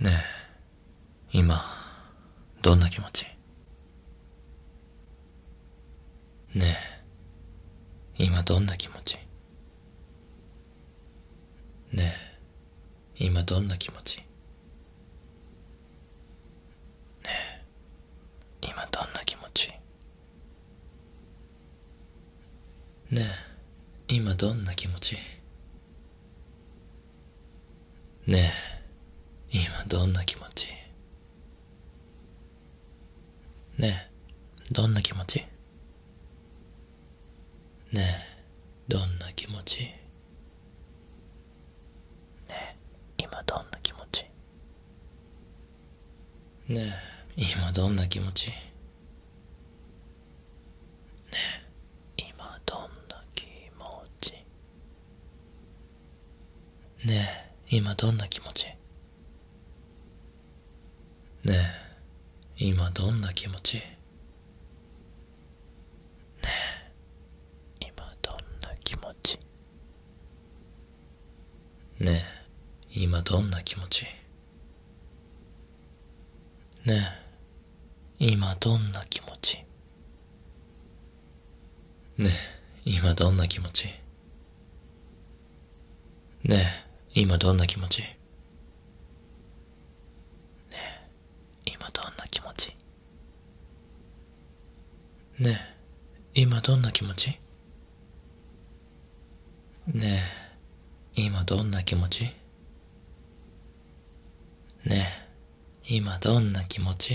ねえ、今、どんな気持ちねえ、今どんな気持ちねえ、今どんな気持ちねえ今どんな気持ちねえ今どんな気持ちねえ今どんな気持ちねえどんな気持ちねえどんな気持ちねえ今どんな気持ちね今どんな気持ちね今どんな気持ちね今どんな気持ちね今どんな気持ちねえ今どんな気持ちねえ今どんな気持ちねえ今どんな気持ちねえ今どんな気持ちねえ今どんな気持ちねえ今どんな気持ちねえ、今どんな気持ちねえ、今どんな気持ちねえ、今どんな気持ち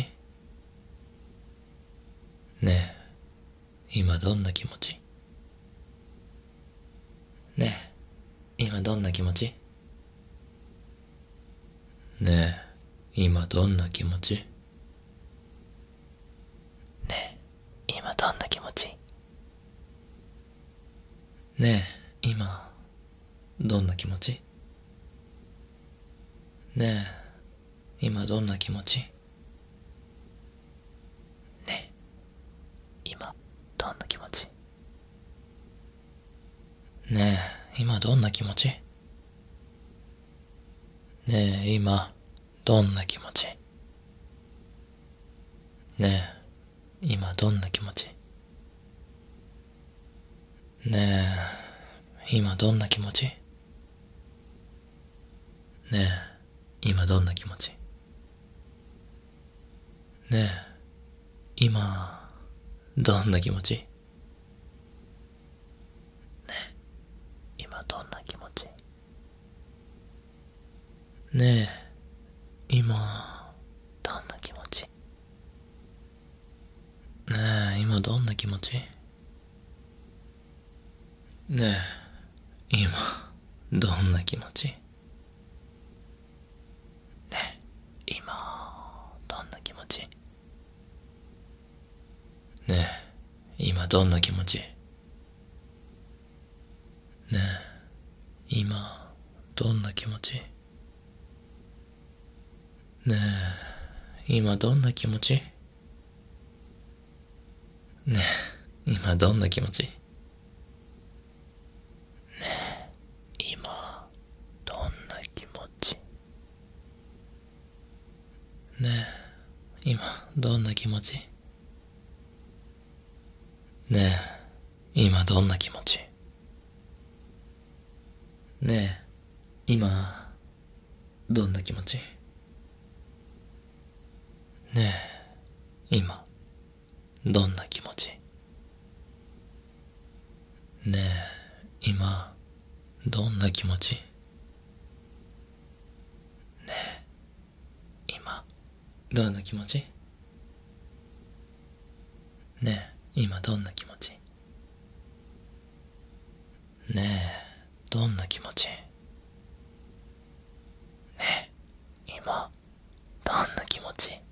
ねえ、今どんな気持ちねえ、今どんな気持ちねえ、今どんな気持ちねえ、今どんな気持ちねえ、今どんな気持ちねえ、今どんな気持ちねえ、今どんな気持ちねえ、今どんな気持ちねえ、今、どんな気持ちねえ、今どんな気持ちねえ、今どんな気持ちねえ、今どんな気持ちねえ、今、どんな気持ちね今どんな気持ちねえ今どんな気持ちね今どんな気持ちね今どんな気持ちね今どんな気持ちね今どんな気持ちね今どんな気持ちね今どんな気持ちね今どんな気持ちねえ今どんな気持ちねえ今どんな気持ちねえ今どんな気持ちねえ今どんな気持ちねえ今どんな気持ちねえ、今、どんな気持ちねえ、今、どんな気持ちねえ、今どんな気持ちねえ、どんな気持ちねえ、今、どんな気持ちね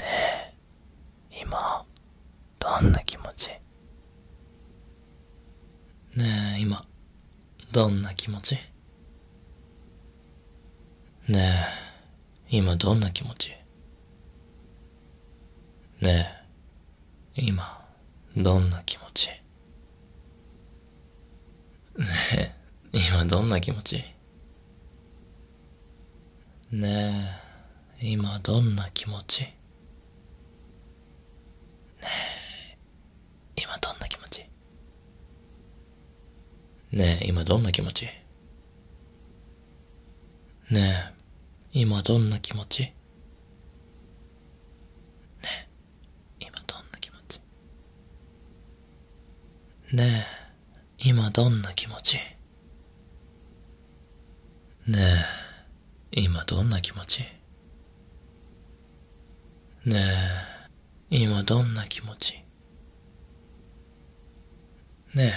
え、今どんな気持ちねえ今どんな気持ちねえ今どんな気持ちねえ今どんな気持ちねえ今どんな気持ちねえ今どんな気持ちねえ今どんな気持ちねえ今どんな気持ちねえ今どんな気持ちねえ今どんな気持ちねえ今どんな気持ちねえ、今どんな気持ちねえ、今どんな気持ちねえ、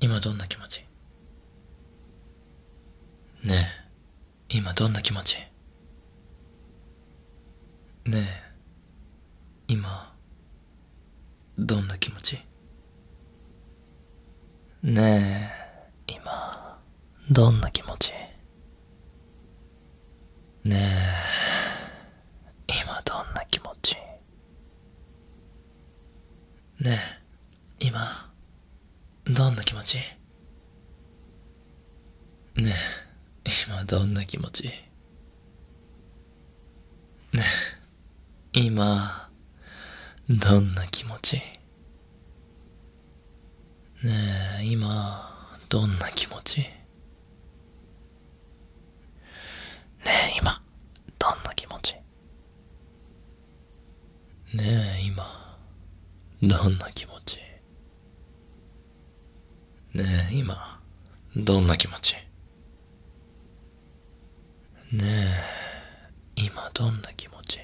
今どんな気持ちねえ、今どんな気持ちねえ、今、どんな気持ちねえ、今、どんな気持ちねえ、今どんな気持ちねえ、今、どんな気持ちねえ、今どんな気持ちねえ、今、どんな気持ちねえ、今、どんな気持ちねえ、今、どんな気持ちねえ、今、どんな気持ちねえ、今、どんな気持ちねえ今どんな気持ち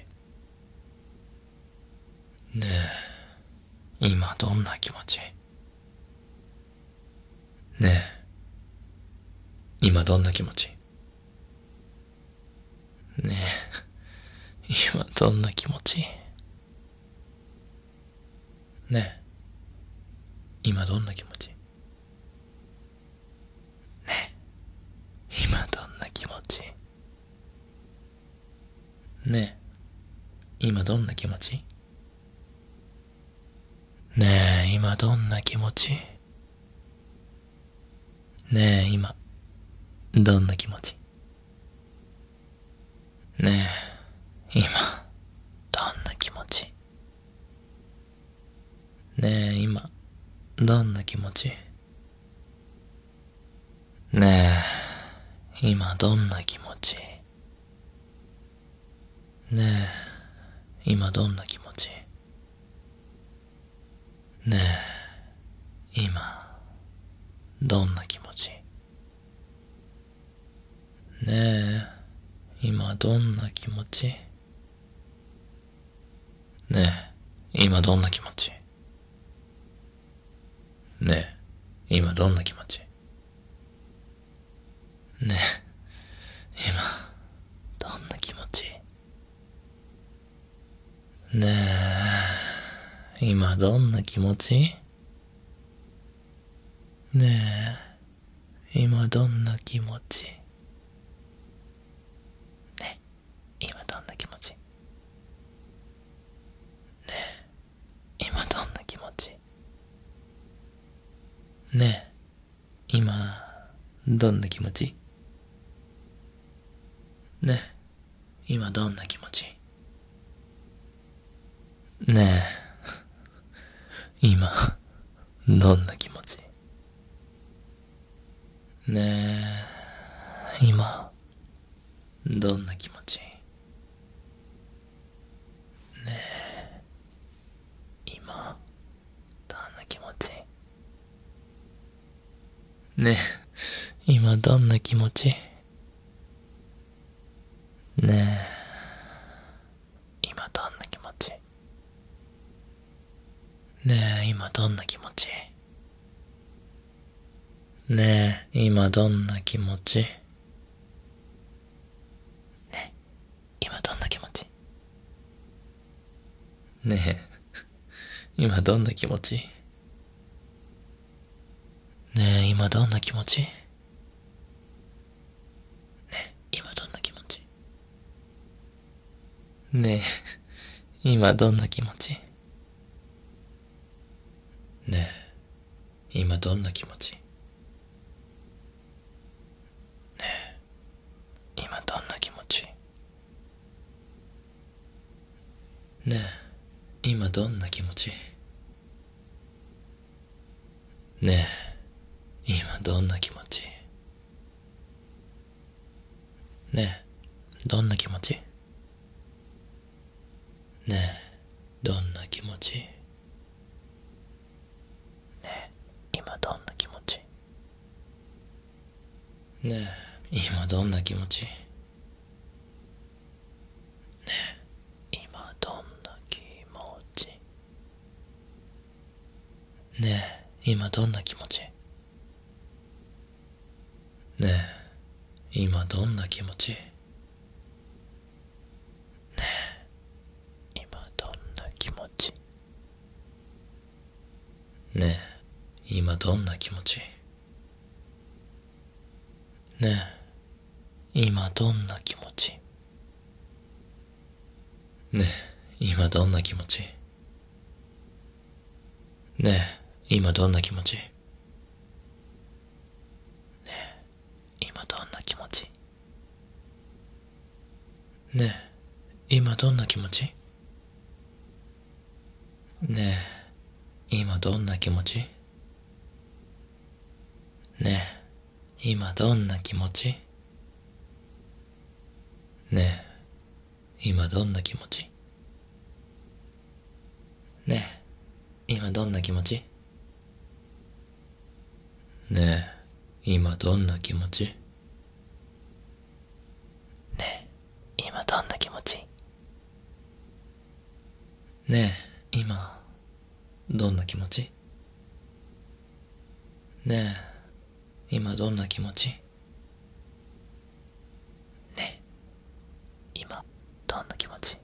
ねえ今どんな気持ちねえ今どんな気持ちねえ今どんな気持ちねえ今どんな気持ちね今どんな気持ちね今どんな気持ちねえ今どんな気持ちねえ今どんな気持ちねえ今どんな気持ちねえ、今、どんな気持ちねえ、今どんな気持ちねえ、今どんな気持ちねえ、今、どんな気持ちねえ、今どんな気持ちねえ、今どんな気持ちねえ、今どんな気持ちねえ、今、どんな気持ちねえ、今どんな気持ちねえ、今どんな気持ち今どんな気持ち今どんな気持ちね今どんな気持ちね今どんな気持ちねえ今、どんな気持ちねえ、今、どんな気持ちねえ、今、どんな気持ちねえ、今どんな気持ちねえ、今どんな気持ちねえ今どんな気持ちねえ今どんな気持ちねえ今どんな気持ちねえ今どんな気持ちねえ今どんな気持ちねえ今どんな気持ち ねえ、今どんな気持ちねえ、今どんな気持ちねえ、今どんな気持ちねえ、今どんな気持ちねえ、今どんな気持ちねえ、どんな気持ちねえ、どんな気持ちねえ、今どんな気持ちねえ、今どんな気持ちねえ、今どんな気持ちねえ、今どんな気持ちねえ、今どんな気持ちねえ、今どんな気持ちねえ、今どんな気持ちねえ、今どんな気持ちねえ、今どんな気持ちねえ、今どんな気持ちねえ、今どんな気持ちねえ、今どんな気持ちねえ、今どんな気持ちねえ、今どんな気持ちねえ、今どんな気持ちねえ、今どんな気持ちねえ、今どんな気持ちねえ、今どんな気持ちねえ、今どんな気持ちねえ、今どんな気持ちねえ、今どんな気持ち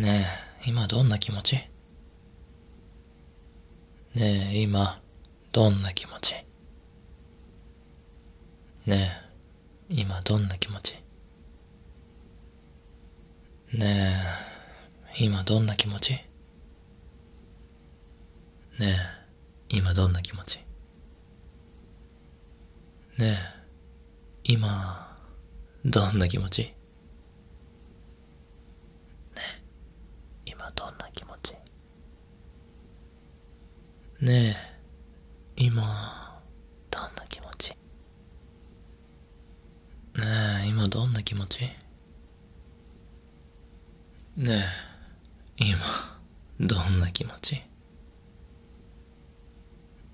ねえ、今どんな気持ちねえ、今どんな気持ちねえ、今どんな気持ちねえ、今どんな気持ちねえ、今どんな気持ちねえ、今、どんな気持ちねえ、今どんな気持ちねえ、今、どんな気持ちねえ、今どんな気持ちねえ、今、どんな気持ちね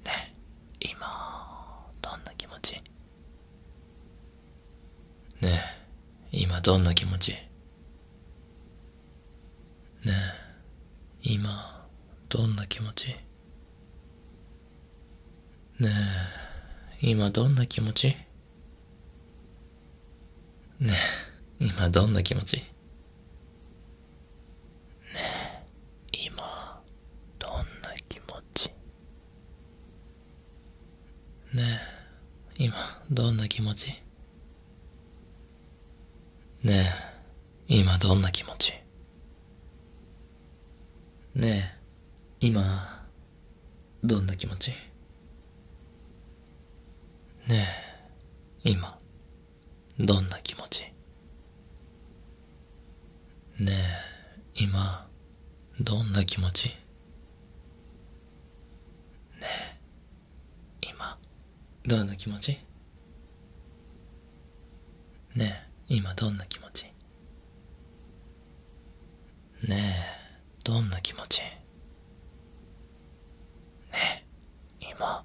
え、今、どんな気持ちねえ、今どんな気持ちねえ、今、どんな気持ちねえ、今どんな気持ちねえ、今どんな気持ちねえ、今どんな気持ちねえ、今どんな気持ちねえ、今どんな気持ちねえ、今どんな気持ちねえ、今、どんな気持ちねえ、今、どんな気持ちねえ、今、どんな気持ちねえ、今どんな気持ちねえどんな気持ちねえ今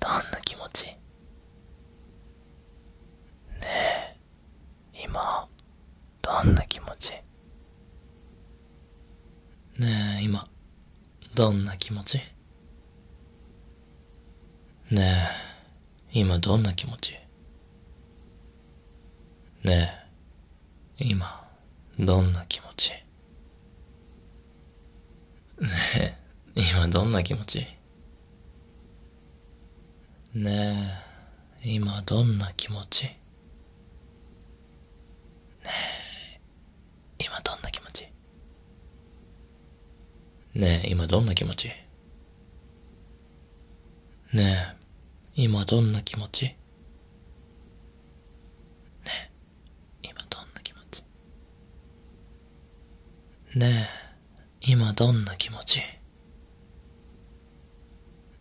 どんな気持ちねえ今どんな気持ちねえ今どんな気持ちねえ今どんな気持ちねえ、今、どんな気持ちねえ、今どんな気持ちねえ、今どんな気持ちねえ、今どんな気持ちねえ、今どんな気持ちねえ、今どんな気持ちねえ、今どんな気持ちねえ、今どんな気持ち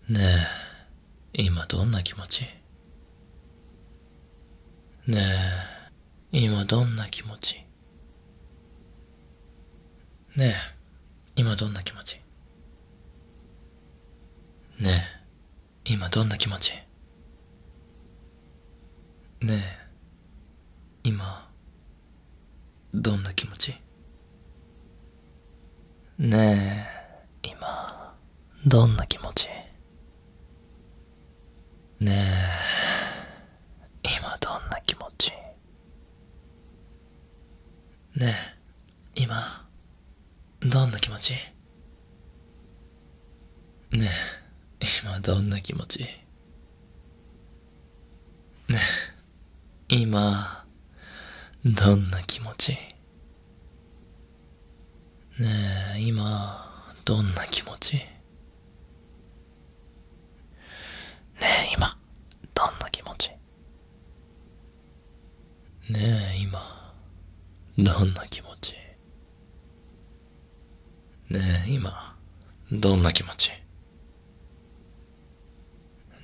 ねえ、今どんな気持ちねえ、今どんな気持ちねえ、今どんな気持ちねえ今どんな気持ちねえ今どんな気持ちねえ今どんな気持ちねえ今どんな気持ちねえ、今、どんな気持ちねえ、今どんな気持ちねえ、今、どんな気持ちねえ、今、どんな気持ちねえ、今、どんな気持ちねえ今どんな気持ちねえ今どんな気持ち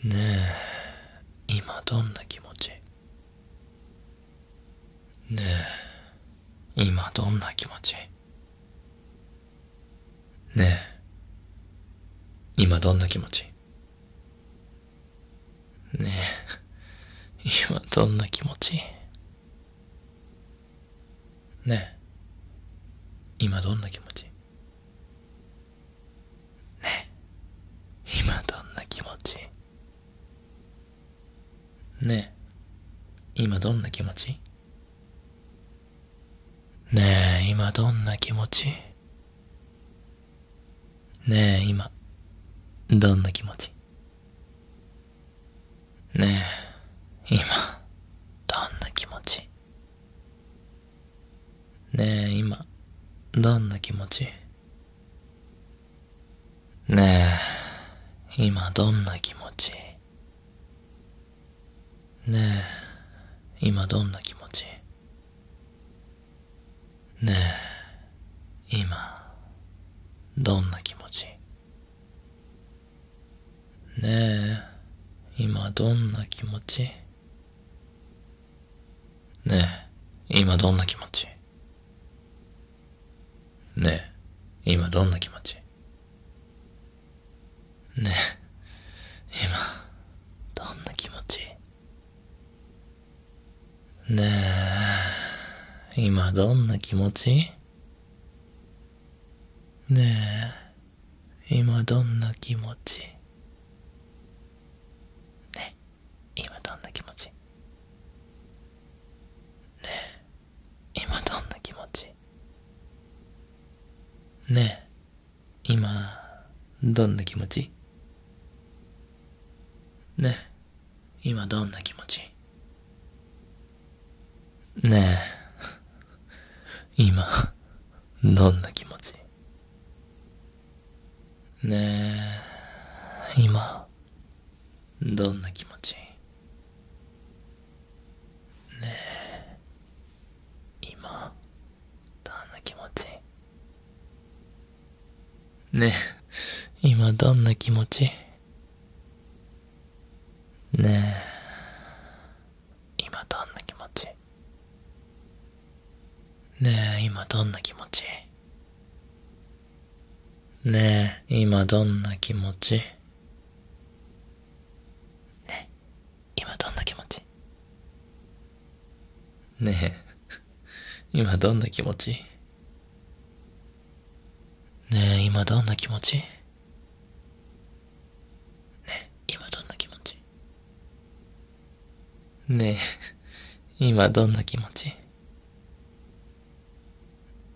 ねえ今どんな気持ちねえ今どんな気持ちねえ今どんな気持ちねえ、今どんな気持ちねえ、今どんな気持ちねえ、今どんな気持ちねえ、今どんな気持ちねえ、今どんな気持ちねえ、今、どんな気持ちねえ、今、どんな気持ちねえ、今、どんな気持ちねえ、今どんな気持ちねえ、今どんな気持ちねえ、今、どんな気持ちねえ、今どんな気持ちねえ、今どんな気持ちねえ、今どんな気持ちねえ、今、どんな気持ちねえ、今どんな気持ちねえ、今どんな気持ちねえ、今どんな気持ちねえ、今どんな気持ちねえ、今、どんな気持ちねえ、今どんな気持ちねえ、今、どんな気持ちねえ、今、どんな気持ちねえ、今、どんな気持ちねえ今どんな気持ちねえ今どんな気持ちねえ今どんな気持ちねえ今どんな気持ちね今どんな気持ちねえ今どんな気持ちねえ今どんな気持ちねえ今どんな気持ちねえ今どんな気持ち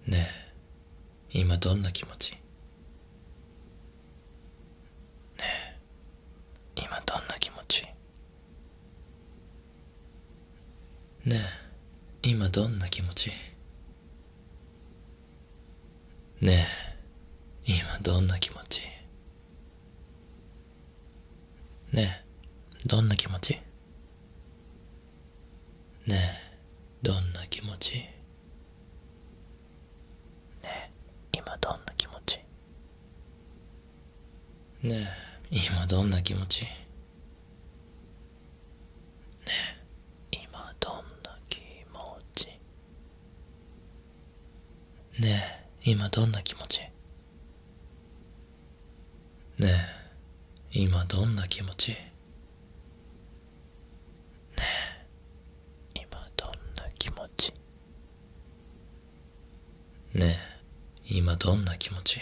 ねえ今どんな気持ちねえ今どんな気持ちねえ今どんな気持ちねえ今どんな気持ちねえどんな気持ちねえどんな気持ちねえ今どんな気持ちねえ今どんな気持ちねえ今どんな気持ちねえ今どんな気持ちねえ今どんな気持ちねえ今どんな気持ちねえ、今どんな気持ち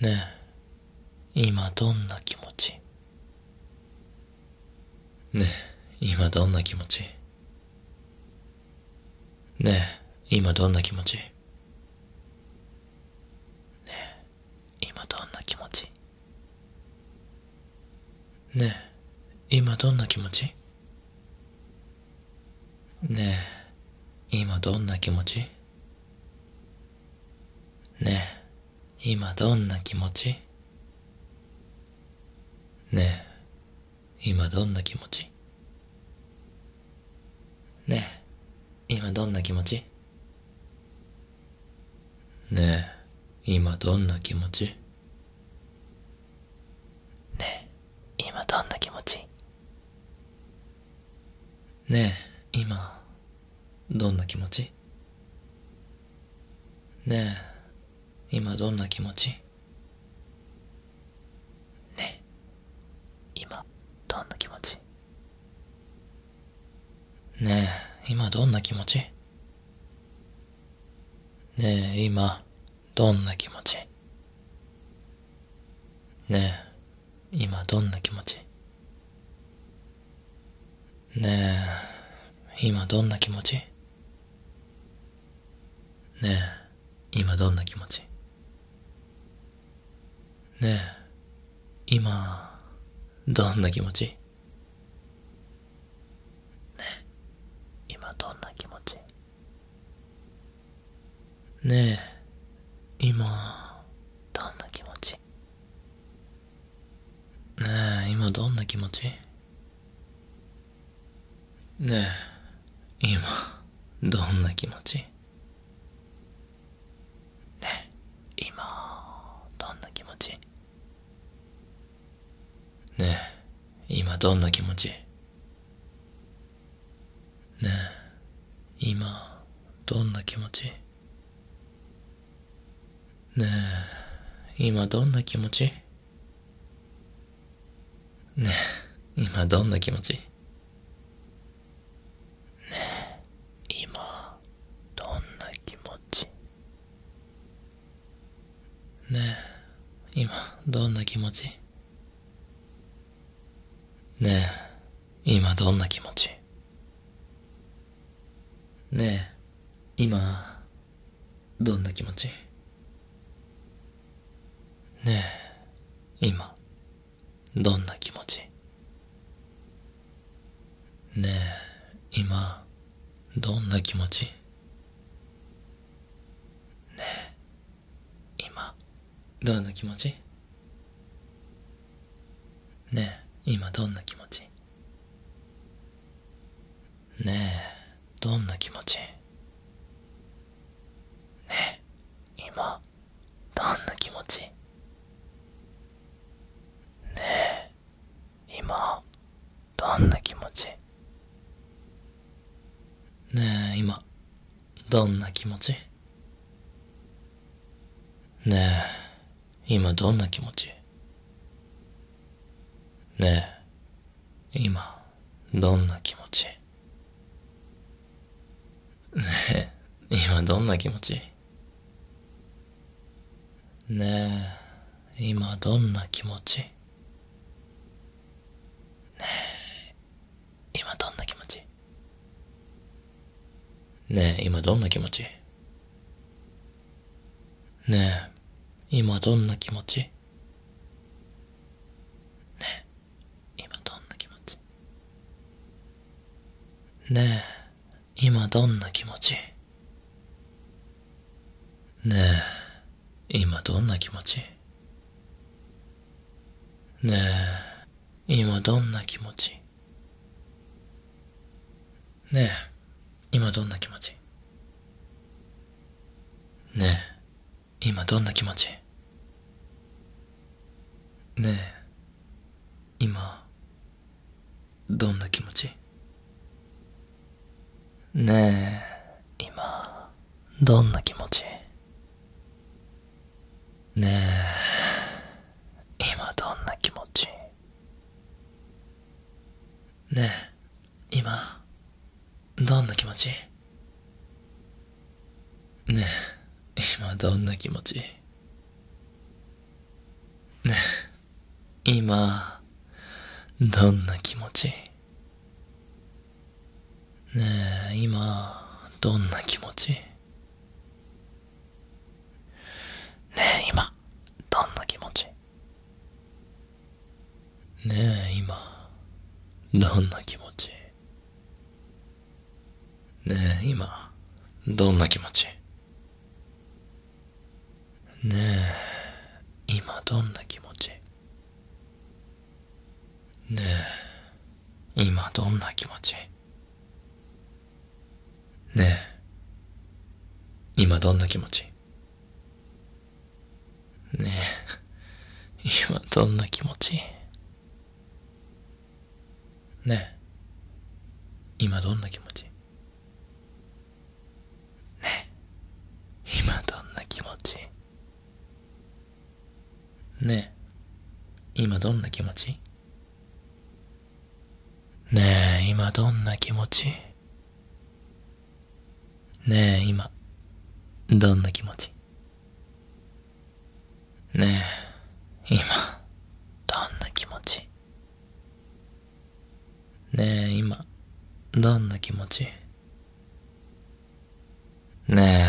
ねえ、今どんな気持ちねえ、今どんな気持ちねえ、今どんな気持ちねえ、今どんな気持ちねえ、今どんな気持ちねえ、今どんな気持ちねえ、今どんな気持ちねえ、今どんな気持ちねえ、今どんな気持ちねえ、今どんな気持ちねえ今どんな気持ちねえ今どんな気持ちねえ今どんな気持ちねえ今どんな気持ちねえ今どんな気持ちねえ、今、どんな気持ちねえ、今どんな気持ちねえ、今どんな気持ちねえ、今どんな気持ちねえ、今、どんな気持ちね今どんな気持ちねえ今どんな気持ちねえ今どんな気持ちねえ今どんな気持ちねえ今どんな気持ちねえ、今どんな気持ちねえ、今どんな気持ちねえ、今どんな気持ちねえ、今どんな気持ちねえ、今どんな気持ちねえ、今、どんな気持ちねえ、今どんな気持ちねえ、今、どんな気持ちねえ、今、どんな気持ちねえ、今、どんな気持ちねえ今どんな気持ちねえ今どんな気持ちねえどんな気持ちねえ今どんな気持ちねえ今どんな気持ちねえ今どんな気持ちねえ今どんな気持ちねえ今どんな気持ちねえ今どんな気持ちねえ今どんな気持ちねえ今どんな気持ちねえ今どんな気持ちねえ今どんな気持ちねえ今どんな気持ちねえ今どんな気持ちねえ、今どんな気持ちねえ、今どんな気持ちねえ、今どんな気持ちねえ、今どんな気持ちねえ、今、どんな気持ちねえ、今、どんな気持ちねえ、今どんな気持ちねえ、今、どんな気持ちねえ、今どんな気持ちねえ、今、どんな気持ちねえ、今、どんな気持ちねえ、今、どんな気持ちねえ、今、どんな気持ちねえ、今、どんな気持ちねえ今どんな気持ちねえ今どんな気持ちねえ今どんな気持ちねえ 今どんな気持ちねえ今どんな気持ちね今どんな気持ちね今どんな気持ちねえ今どんな気持ちねえ今どんな気持ちねえ今どんな気持ちねえ、今、どんな気持ちね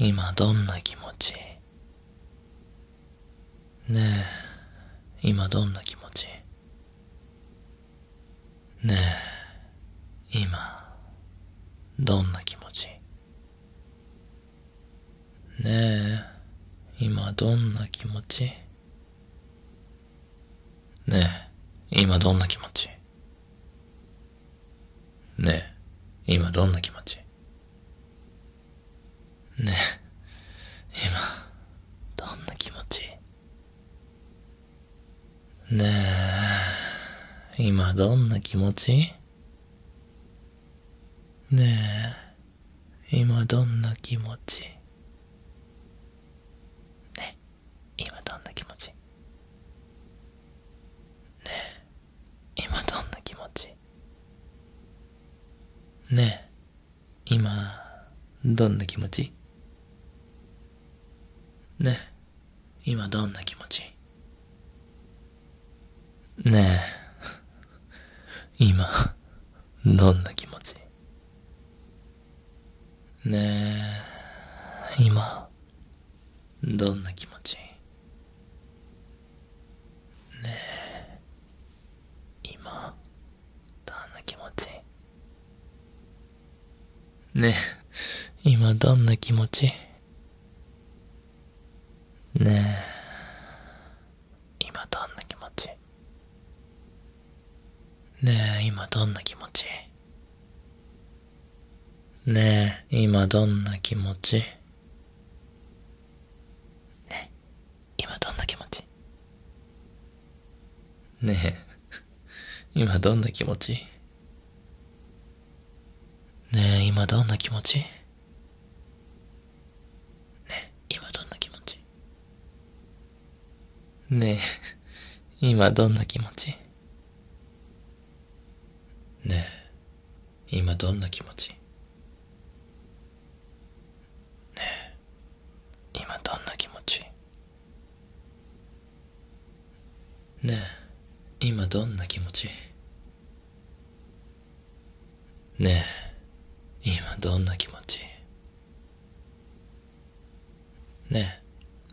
え、今どんな気持ちねえ、今どんな気持ちねえ、今、どんな気持ちねえ、今どんな気持ちねえ、今どんな気持ちねえ、今どんな気持ちねえ、今、どんな気持ちねえ、今どんな気持ちねえ、今どんな気持ちねえ。今どんな気持ちねえ今どんな気持ちねえ今どんな気持ちねえ今どんな気持ちねえ 今どんな気持ちねえ、今、どんな気持ちねえ、今、どんな気持ちねえ、今どんな気持ちねえ、今どんな気持ちねえ、今どんな気持ちねえ、今どんな気持ちねえ、今どんな気持ちねえ、今どんな気持ちねえ、今どんな気持ちねえ、今どんな気持ち ねえ、今どんな気持ちねえ、今どんな気持ちねえ、今どんな気持ちねえ、今どんな気持ちねえ、今どんな気持ちね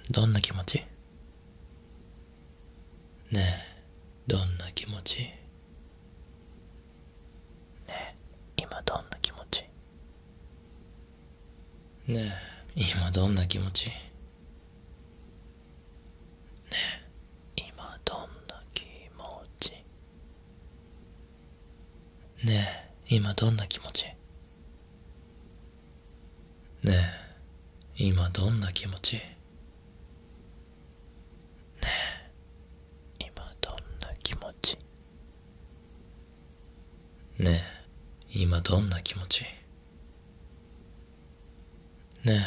え、どんな気持ちねえ、どんな気持ちねえ、今どんな気持ちねえ、今どんな気持ちねえ、今どんな気持ちね今どんな気持ちねえ今どんな気持ちねえ今どんな気持ちねえ今どんな気持ちね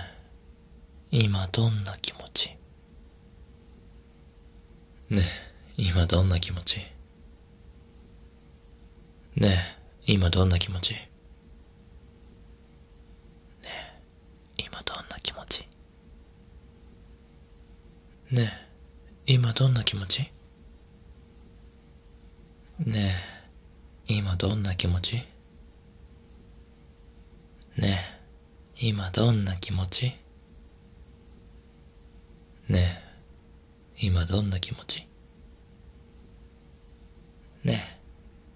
え今どんな気持ちねえ今どんな気持ちねえ、今どんな気持ちねえ、今どんな気持ちねえ、今どんな気持ちねえ、今どんな気持ちねえ、今どんな気持ちねえ、今どんな気持ちね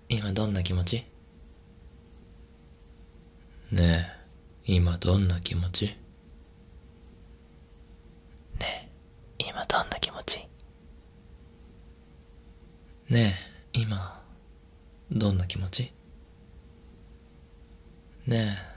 え、今どんな気持ちねえ、今どんな気持ちねえ、今どんな気持ちねえ、今どんな気持ちねえ、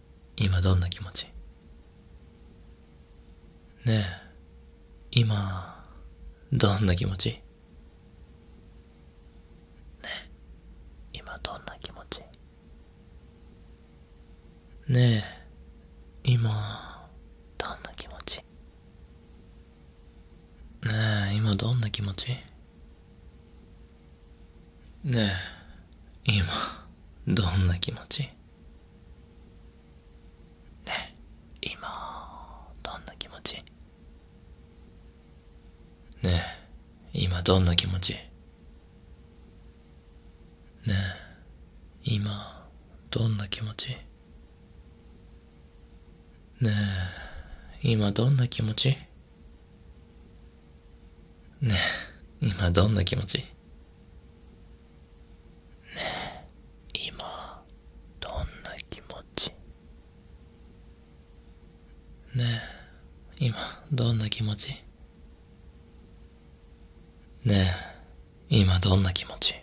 今どんな気持ちねえ、今、どんな気持ちねえ、今どんな気持ちねえ、今、どんな気持ちねえ、今どんな気持ちねえ、今、どんな気持ちねえ、今、どんな気持ちねえ、今どんな気持ちねえ、今、どんな気持ちねえ、今どんな気持ちねえ、今どんな気持ちねえ、今どんな気持ちねえ、今どんな気持ちねえ、今どんな気持ち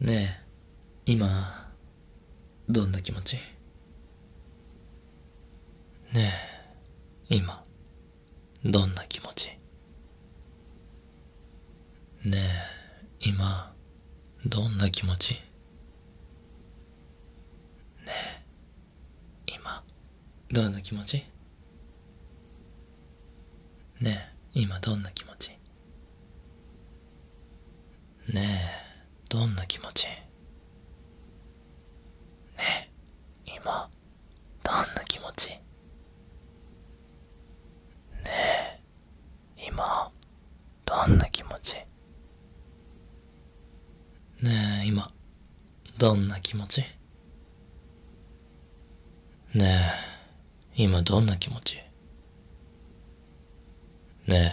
ねえ、今どんな気持ちねえ、今、どんな気持ちねえ、今、どんな気持ちねえ、今、どんな気持ちねえ、今どんな気持ちねえどんな気持ちねえ今どんな気持ちねえ今どんな気持ちねえ今どんな気持ちねえ今どんな気持ちね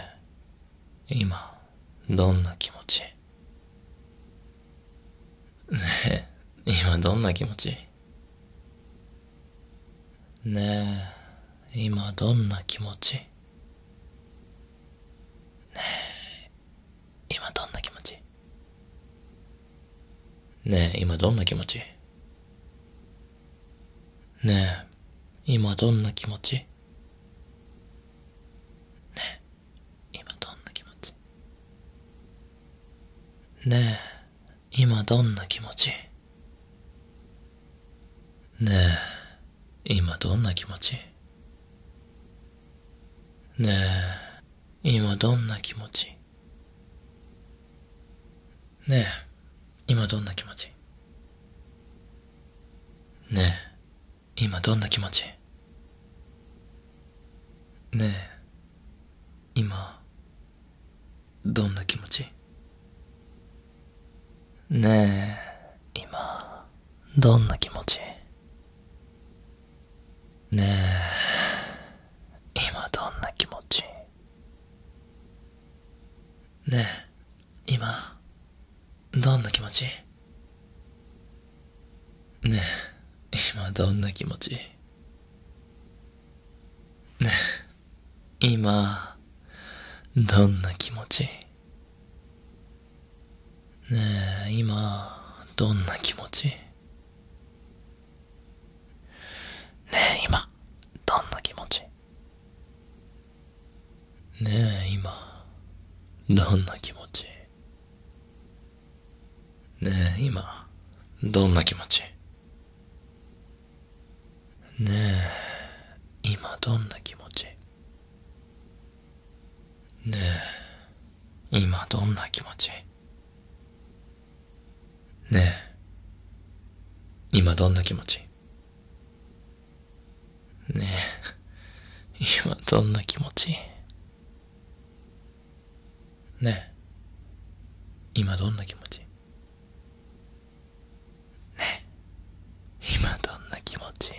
え今どんな気持ちねえ、今どんな気持ちねえ、今どんな気持ちねえ、今どんな気持ちねえ、今どんな気持ちねえ、今どんな気持ちねえ今どんな気持ちねえ今どんな気持ちねえ今どんな気持ちねえ今どんな気持ちねえ今どんな気持ちねえ今どんな気持ちねえ、今、どんな気持ちねえ、今、どんな気持ちねえ、今どんな気持ちねえ、今、どんな気持ちねえ、今どんな気持ちね今、どんな気持ちね今、どんな気持ちね今、どんな気持ちね今どんな気持ちねえ、今、どんな気持ちねえ、今、どんな気持ちねえ、今どんな気持ちねえ、今どんな気持ちねえ、今どんな気持ちねえ、今どんな気持ちねえ、今どんな気持ちねえ、今どんな気持ち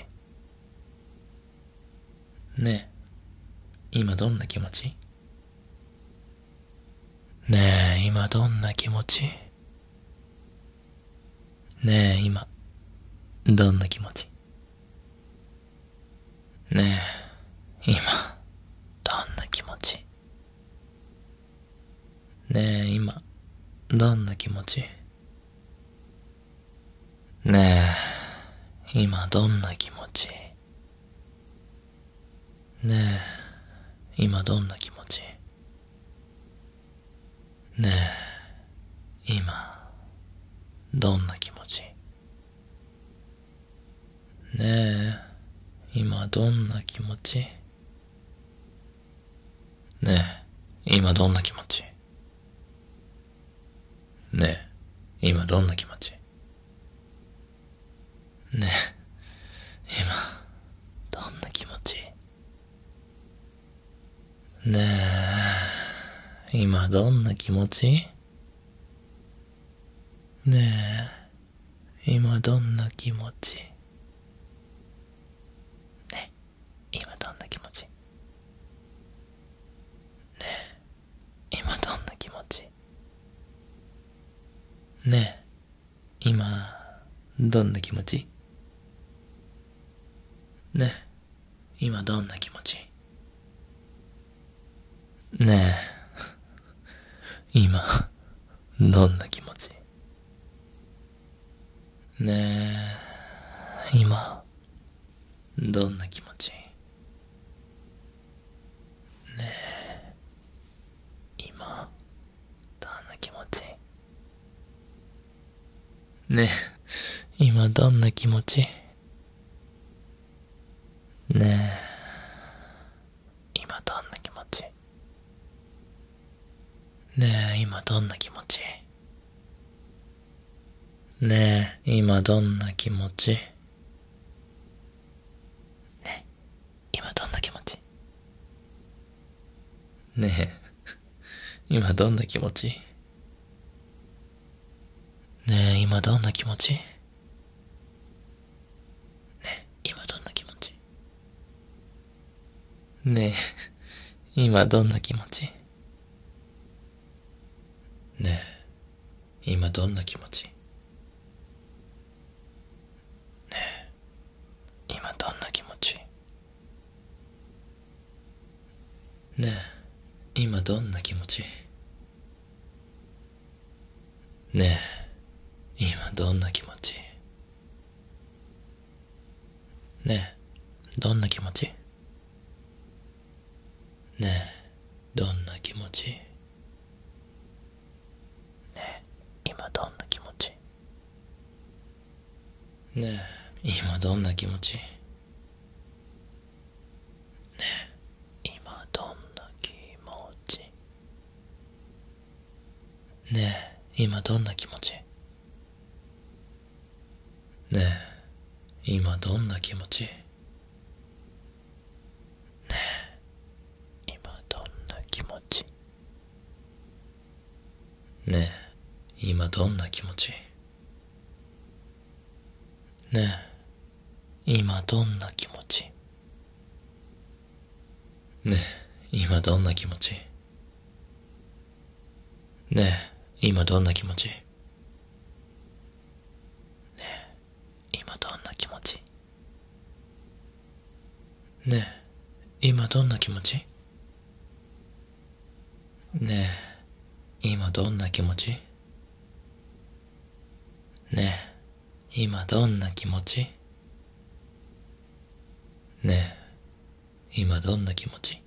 ねえ、今どんな気持ちねえ、今どんな気持ちねえ、今、どんな気持ちねえ、今、どんな気持ちねえ、今、どんな気持ちねえ、今どんな気持ちねえ、今どんな気持ちねえ、今、どんな気持ちねえ、今どんな気持ちねえ、今どんな気持ちねえ、今どんな気持ちねえ、今、どんな気持ちねえ、今どんな気持ちねえ、今どんな気持ちねえ、今どんな気持ちねえ、今どんな気持ちねえ、今どんな気持ちね今どんな気持ち ねえ、今、どんな気持ちねえ、今、どんな気持ちねえ、今、どんな気持ちねえ、今どんな気持ちねえ、今どんな気持ちねえ、今どんな気持ちねえ、今どんな気持ちねえ、今どんな気持ちねえ、今どんな気持ちねえ、今どんな気持ちねえ、今どんな気持ち ねえ、今どんな気持ちねえ、今どんな気持ちねえ、今どんな気持ちねえ今どんな気持ちねえ今どんな気持ちねえどんな気持ちねえどんな気持ちねえ今どんな気持ちねえ今どんな気持ちねえ、今どんな気持ちねえ今どんな気持ちねえ今どんな気持ちねえ今どんな気持ちねえ今どんな気持ちねえ、今どんな気持ちねえ、今どんな気持ちねえ、今どんな気持ちねえ、今どんな気持ちねえ、今どんな気持ちねえ、今どんな気持ちねえ、今どんな気持ちねえ、今どんな気持ち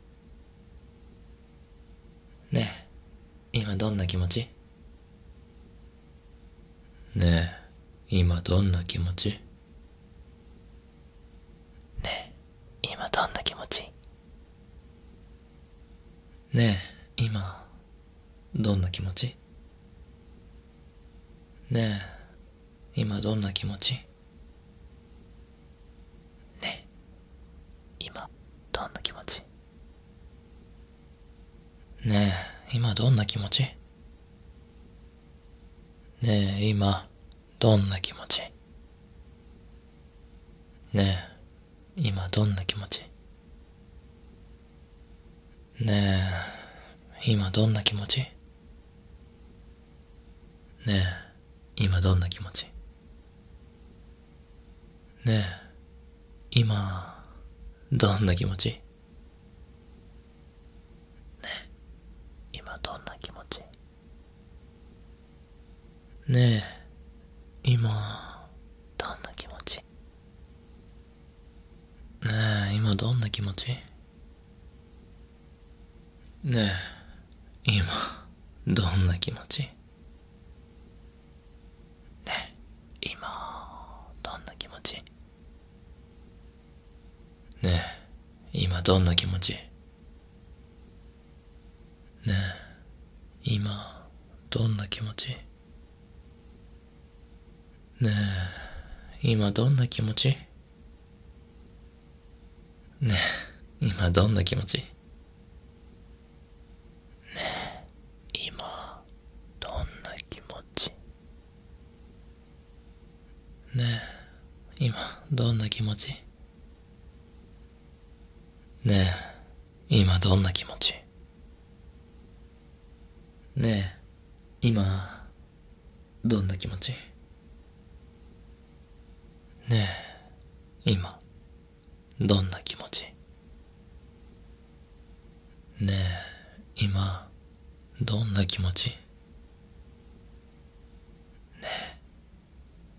ねえ、今どんな気持ちねえ、今どんな気持ちねえ今どんな気持ちねえ今どんな気持ちねえ今どんな気持ちねえ今どんな気持ちねえ今どんな気持ちねえ今どんな気持ちねえ、今どんな気持ちねえ、今どんな気持ちねえ、今どんな気持ちねえ、今、どんな気持ちねえ、今どんな気持ちねえ、今、どんな気持ちねえ、今どんな気持ちねえ、今、どんな気持ちねえ、今、どんな気持ちねえ、今どんな気持ちねえ今どんな気持ちねえ今どんな気持ちねえ今どんな気持ちねえ今どんな気持ちねえ今どんな気持ちねえ、今どんな気持ちねえ、今、どんな気持ちねえ、今、どんな気持ちねえ、今、どんな気持ちね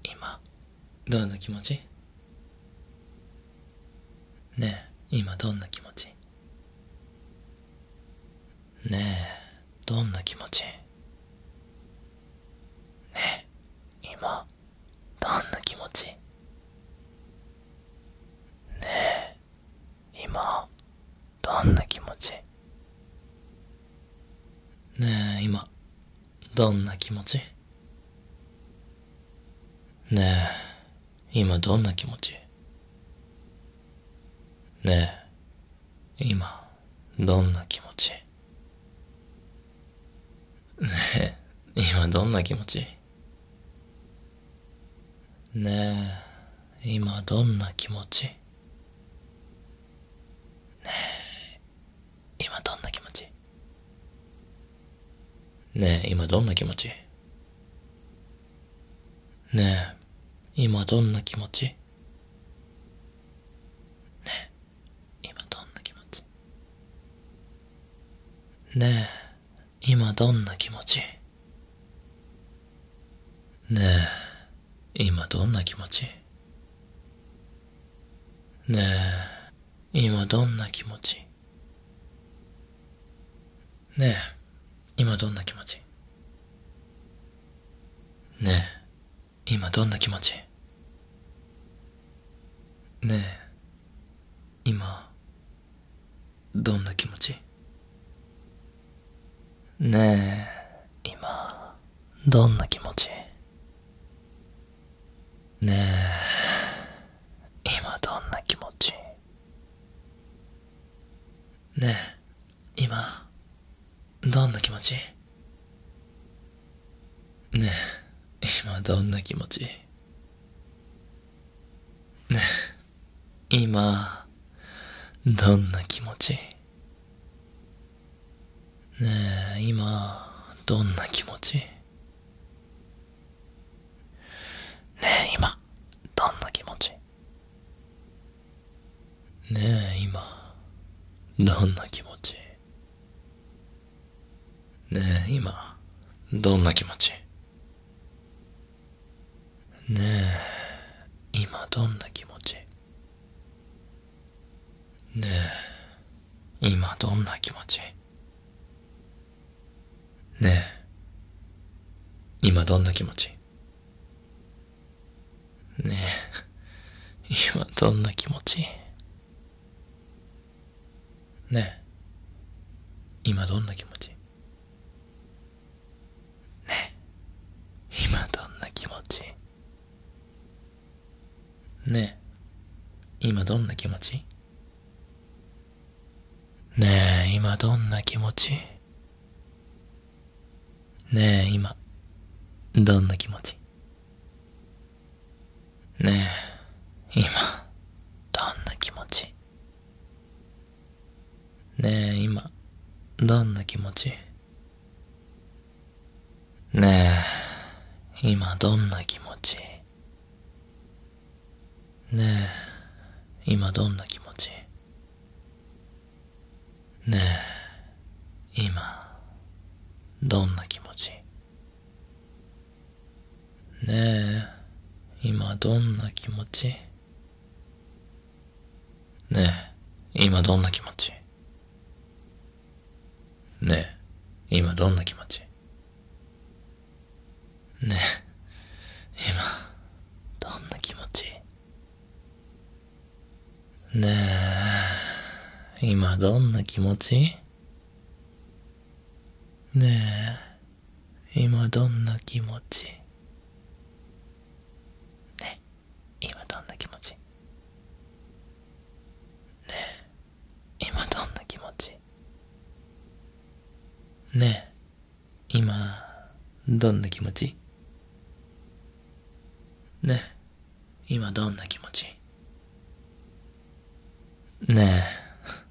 今どんな気持ちねえ今どんな気持ちねえどんな気持ちねえ今どんな気持ちねえ今どんな気持ちねえ今どんな気持ちねえ、今どんな気持ちねえ、今どんな気持ちねえ、今どんな気持ちねえ、今どんな気持ちねえ、今どんな気持ちねえ、今どんな気持ちねえ、今どんな気持ちねえ、今どんな気持ちねえ、今どんな気持ちねえ、今どんな気持ちねえ、今どんな気持ちねえ、今どんな気持ちねえ、今どんな気持ちねえ、今、どんな気持ちねえ、今、どんな気持ちねえ、今どんな気持ちねえ、今、どんな気持ちねえ、今どんな気持ちねえ、今、どんな気持ちねえ、今、どんな気持ちねえ、今、どんな気持ちねえ、今、どんな気持ちねえ、今、どんな気持ちねえ、今どんな気持ちねで、今どんな気持ちねえ、今どんな気持ちねえ、今どんな気持ちねえ、今どんな気持ちねえ、今どんな気持ちねえ、今どんな気持ちねえ、今どんな気持ちねえ、今、どんな気持ちねえ、今、どんな気持ちねえ、今、どんな気持ちねえ、今どんな気持ちねえ、今どんな気持ちねえ、今、どんな気持ちねえ、今どんな気持ちねえ、今どんな気持ちねえ、今どんな気持ちねえ、今、どんな気持ちねえ、今どんな気持ちねえ、今どんな気持ちねえ、今どんな気持ちねえ今どんな気持ちねえ今どんな気持ちねえ今どんな気持ちねえ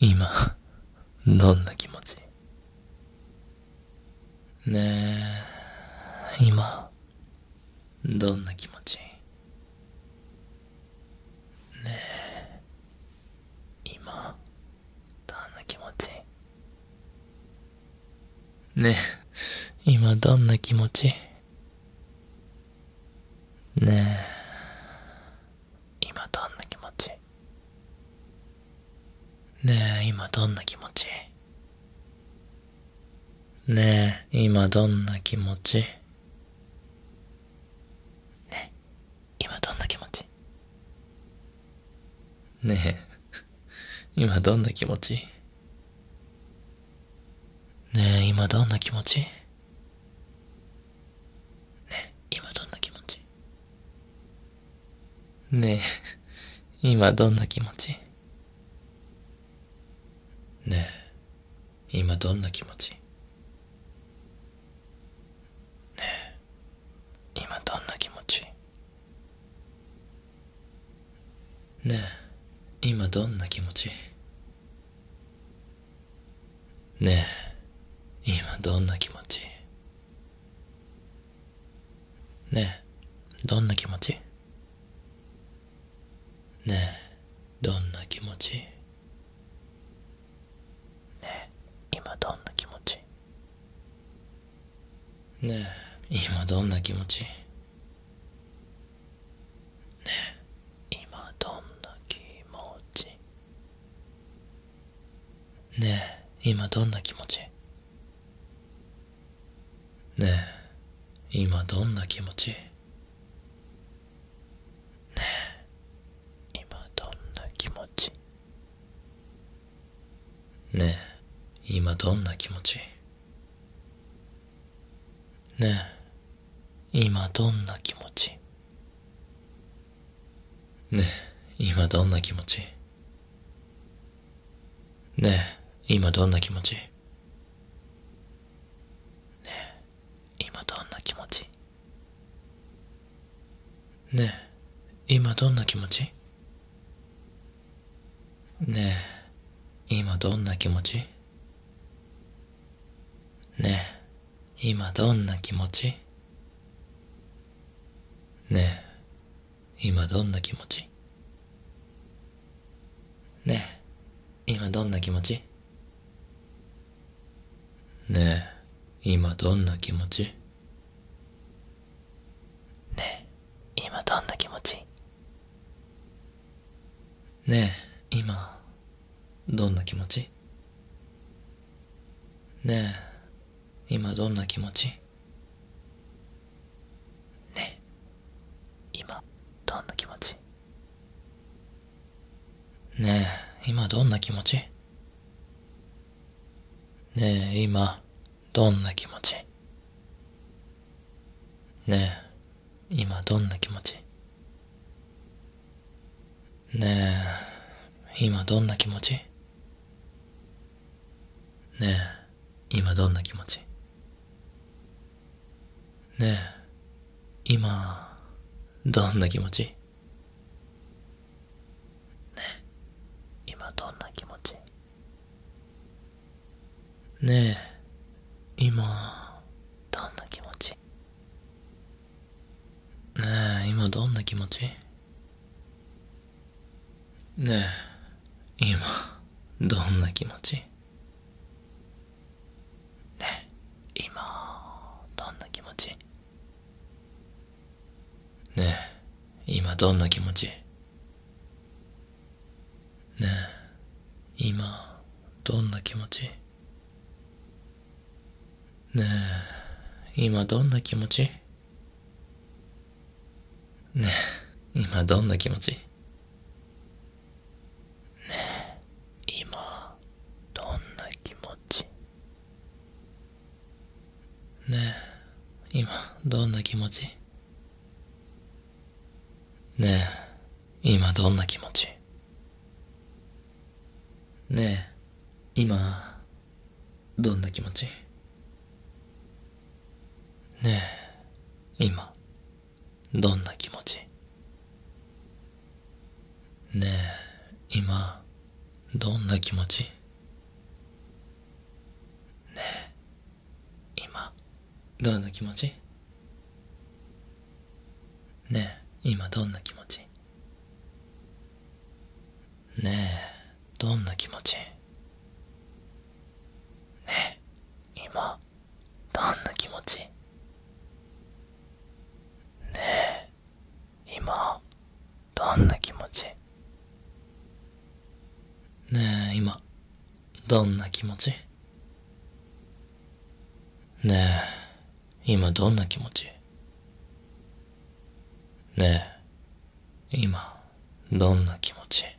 今どんな気持ちねえ今どんな気持ちねえ今どんな気持ちねえ今どんな気持ちねえ今どんな気持ちねえ今どんな気持ちねえ、今どんな気持ちねえ、今どんな気持ち ねえ、今どんな気持ちねえ、今どんな気持ちねえ、今どんな気持ちねえ、今どんな気持ちねえ今どんな気持ちねえ今どんな気持ちねえ今どんな気持ちねえ今どんな気持ちねえどんな気持ちねえどんな気持ちねえ今どんな気持ちねえ今どんな気持ちねえ今どんな気持ちねえ今どんな気持ちねえ今どんな気持ちねえ今どんな気持ちねえ今どんな気持ちねえ今どんな気持ちねえ今どんな気持ちねえ今どんな気持ちねえ今どんな気持ちねえ今どんな気持ちねえ今どんな気持ちねえ今どんな気持ちねえ今どんな気持ちね今どんな気持ちねえ、今どんな気持ちねえ、今どんな気持ちねえ、今どんな気持ちねえ、今どんな気持ちねえ今どんな気持ちねえ今どんな気持ちねえ今どんな気持ちねえ今どんな気持ちねえ今どんな気持ちねえ今どんな気持ちねえ、今、どんな気持ちねえ、今どんな気持ちねえ、今、どんな気持ちねえ、今どんな気持ちねえ、今、どんな気持ちね今どんな気持ちね今どんな気持ちね今どんな気持ちね今どんな気持ちね今どんな気持ちねえ今どんな気持ちねえ今どんな気持ちねえ今どんな気持ちねえ今どんな気持ちねえ今どんな気持ちねえ、今、どんな気持ちねえ、今、どんな気持ちねえ、今どんな気持ちねえ、どんな気持ちねえ、今。どんな気持ちねえ今どんな気持ちねえ今どんな気持ちねえ今どんな気持ちねえ今どんな気持ち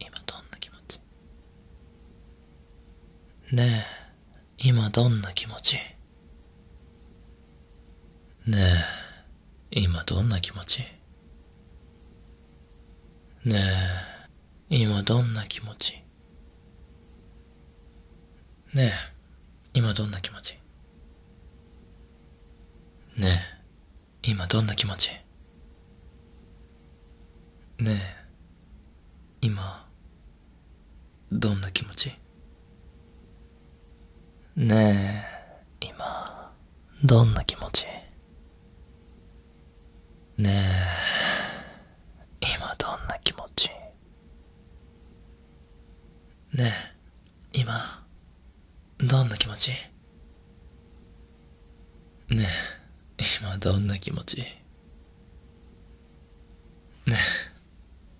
今どんな気持ちねえ、今どんな気持ちねえ、今どんな気持ちねえ、今どんな気持ちねえ、今どんな気持ちねえ、今どんな気持ちねえ今どんな気持ちねえ今どんな気持ちねえ今どんな気持ちねえ今どんな気持ちねえ、今どんな気持ちね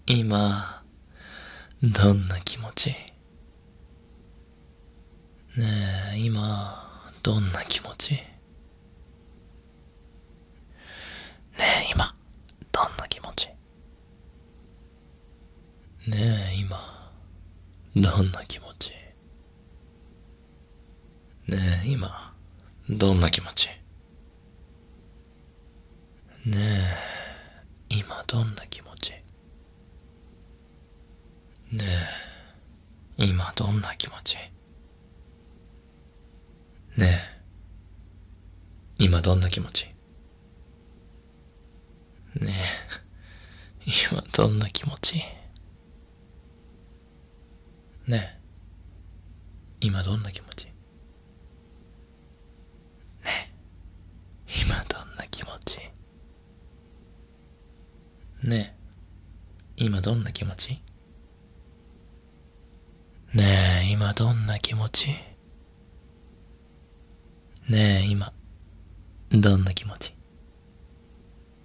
え、今、どんな気持ちねえ、今、どんな気持ちねえ、今、どんな気持ちねえ、今、どんな気持ちねえ、今、どんな気持ちねえ、今どんな気持ちねえ、今どんな気持ちねえ、今どんな気持ちねえ、今どんな気持ちねえ今どんな気持ちねえ今どんな気持ちねえ今どんな気持ちねえ今どんな気持ちねえ今どんな気持ち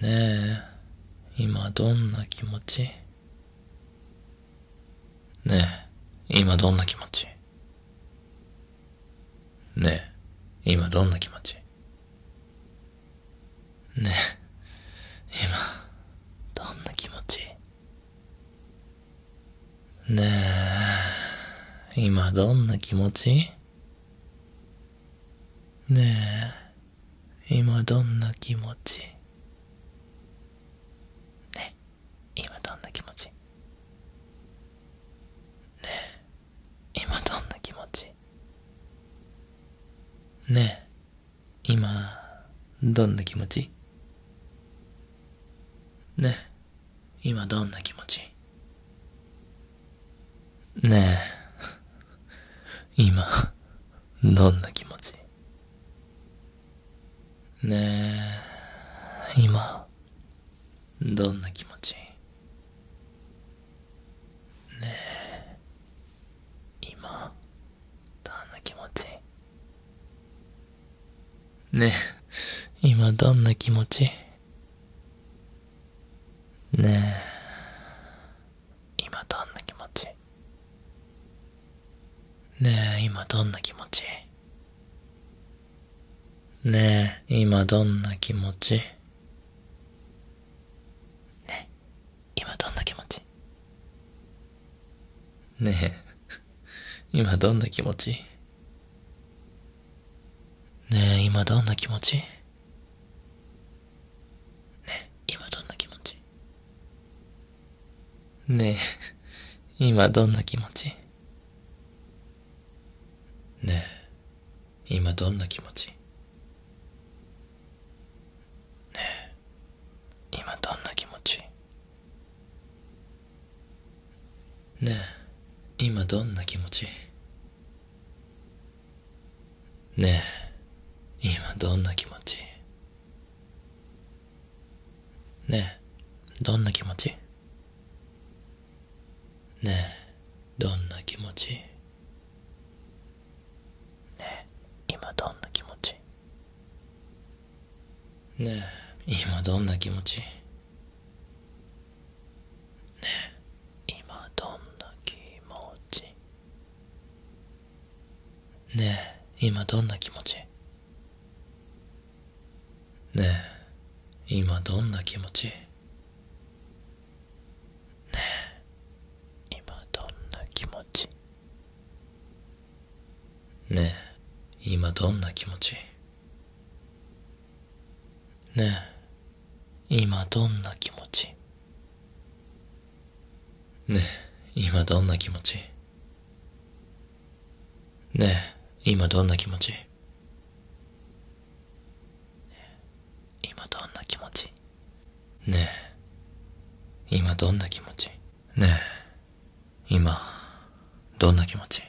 ねえ、今どんな気持ちねえ、今どんな気持ちねえ、今どんな気持ちねえ、今、どんな気持ちねえ、今どんな気持ちねえ今どんな気持ちね今どんな気持ちねえ今どんな気持ちねえ今どんな気持ちねえ今どんな気持ちねえ、今、どんな気持ちねえ、今、どんな気持ちねえ、今、どんな気持ちねえ、今どんな気持ちねえ今どんな気持ちねえ今どんな気持ちねえ今どんな気持ちね今どんな気持ちねえ今どんな気持ちねえ今どんな気持ちね今どんな気持ちねえ今どんな気持ちねえ今どんな気持ちねえ今どんな気持ちねえ今どんな気持ちねえ、今どんな気持ちねどんな気持ちねどんな気持ちね今どんな気持ちね今どんな気持ちねえ、今どんな気持ちねえ今どんな気持ちねえ今どんな気持ちねえ今どんな気持ちねえ今どんな気持ちねえ今どんな気持ちねえ、今どんな気持ちねえ、今どんな気持ち今どんな気持ちねえ、今どんな気持ちねえ、今どんな気持ち